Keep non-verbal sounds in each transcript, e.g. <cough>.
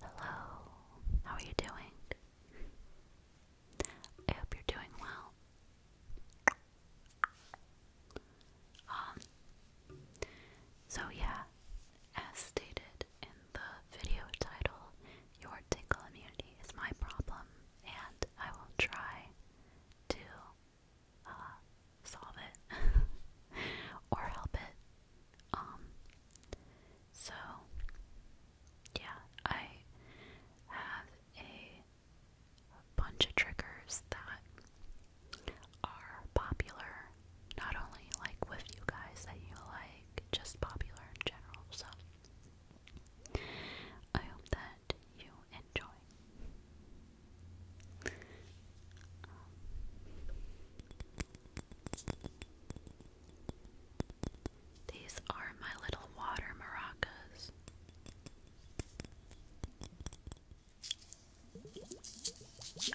Hello, how are you doing? I hope you're doing well. Um, so yeah, as stated in the video title, your tingle immunity is my problem, and I will try to uh, solve it <laughs> or help it. Um, so yeah, I have a bunch of triggers that are popular, not only like with you guys that you like, just popular in general. So I hope that you these are my little water maracas. Let's see.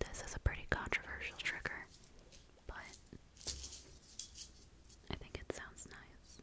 This is a pretty controversial trigger, but I think it sounds nice.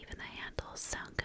Even the handles sound good.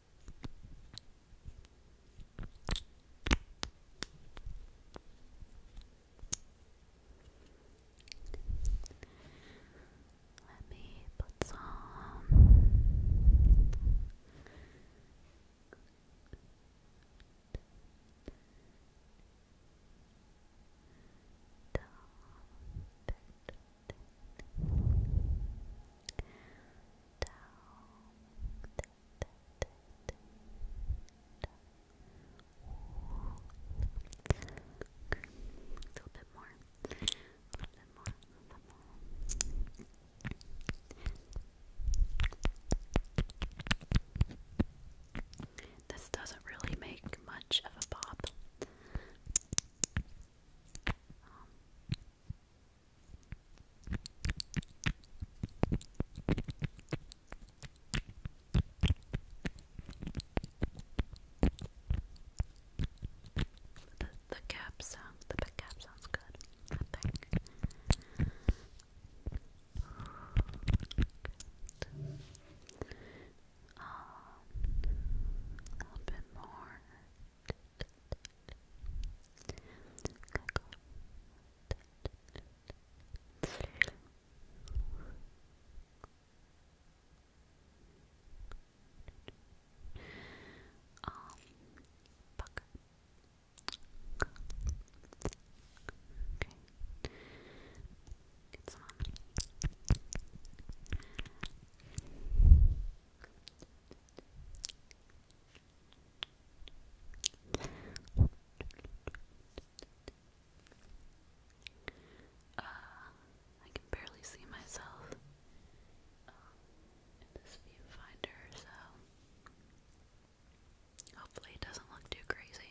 Let me put some little bit a little bit more, This doesn't really make much of a pop. Um, the, the cap sound, the big cap sounds good, I think. Good. Um, a little bit more. Um, fuck. Okay. It's on. Uh, I can barely see myself um, in this viewfinder, so hopefully it doesn't look too crazy.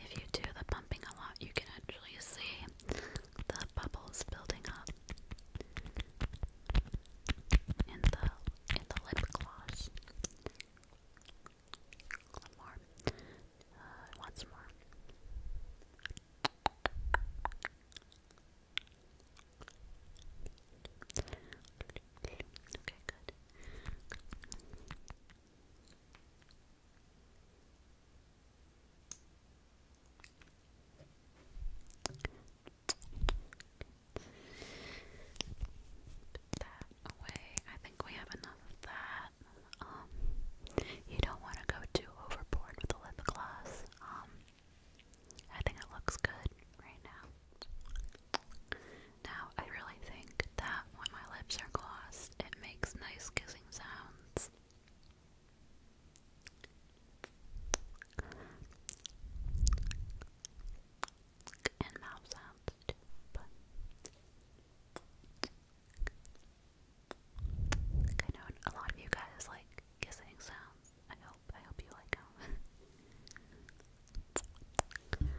If you do the pumping a lot, you can actually see the bubbles building up in the in the lip gloss. One more. Uh, once more. Okay, good. that away. I think we have enough of that. Um, you don't want to go too overboard with the lip gloss. Um, I think it looks good right now. Now, I really think that when my lips are glossed, it makes nice kissing sounds. And mouth sounds I know a lot of you guys like kissing sounds. I hope. I hope you like them. <laughs>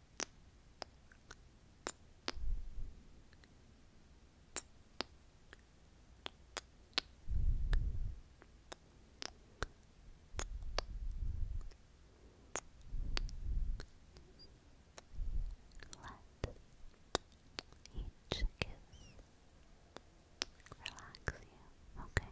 Let each kiss relax you, okay?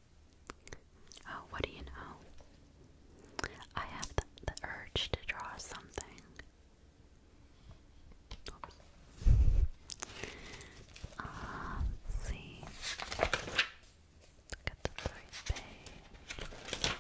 Oh, what do you know? I have the, urge to draw something. Oops. Uh, see. Look the right page.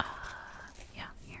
Uh, yeah, here.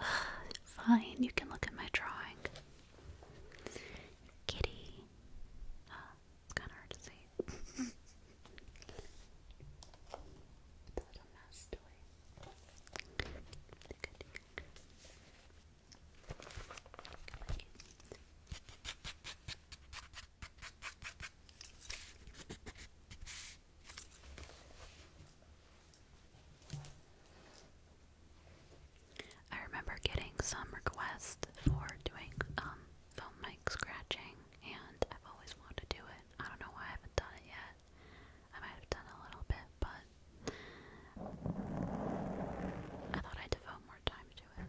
<sighs> Fine, you can look at my drawing. Kitty. It's kind of hard to say. <laughs> I remember getting some requests for doing um film mic scratching, and I've always wanted to do it. I don't know why I haven't done it yet. I might have done a little bit, but I thought I'd devote more time to it.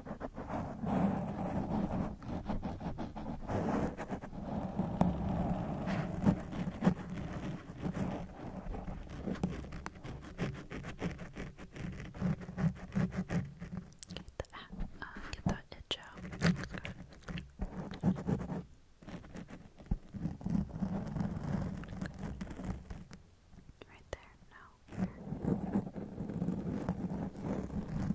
Get that, uh, get that itch out. That's good. Right there, now.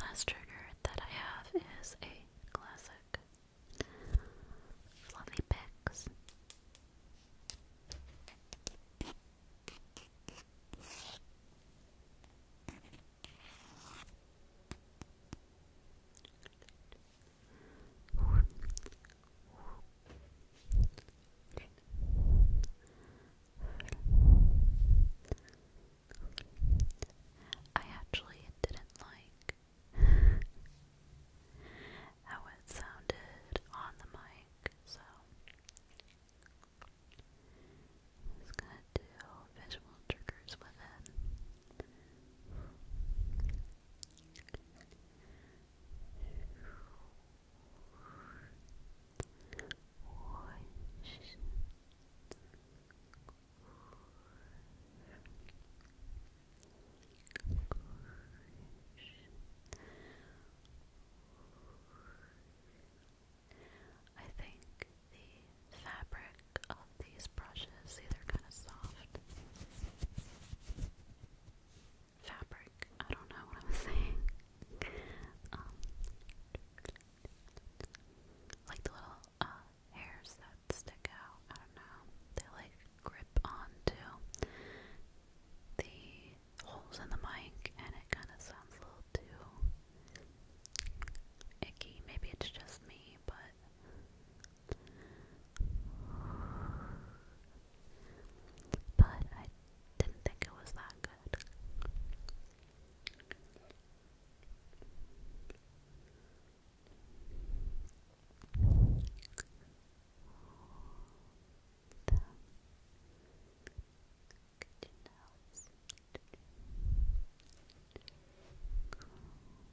Last trigger that I have is a classic fluffy picks. I actually didn't like how it sounded on the mic, so I'm just gonna do visual triggers with it. I think the fabric of these brushes. See, they're kind of soft. Fabric. I don't know what I'm <laughs> saying. Um, like the little uh, hairs that stick out. I don't know. They like grip onto the holes in the mic, and it kind of sounds a little too icky. Maybe it's just me, but but I didn't think it was that good.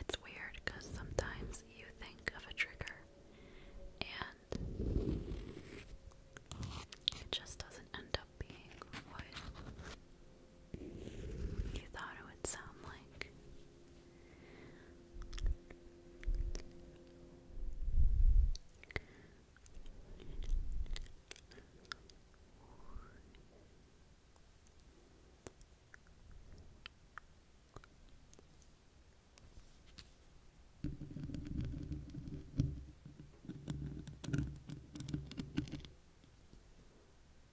It's weird because sometimes you think of a trigger and it just doesn't end up being what you thought it would sound like.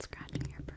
Scratching your brain.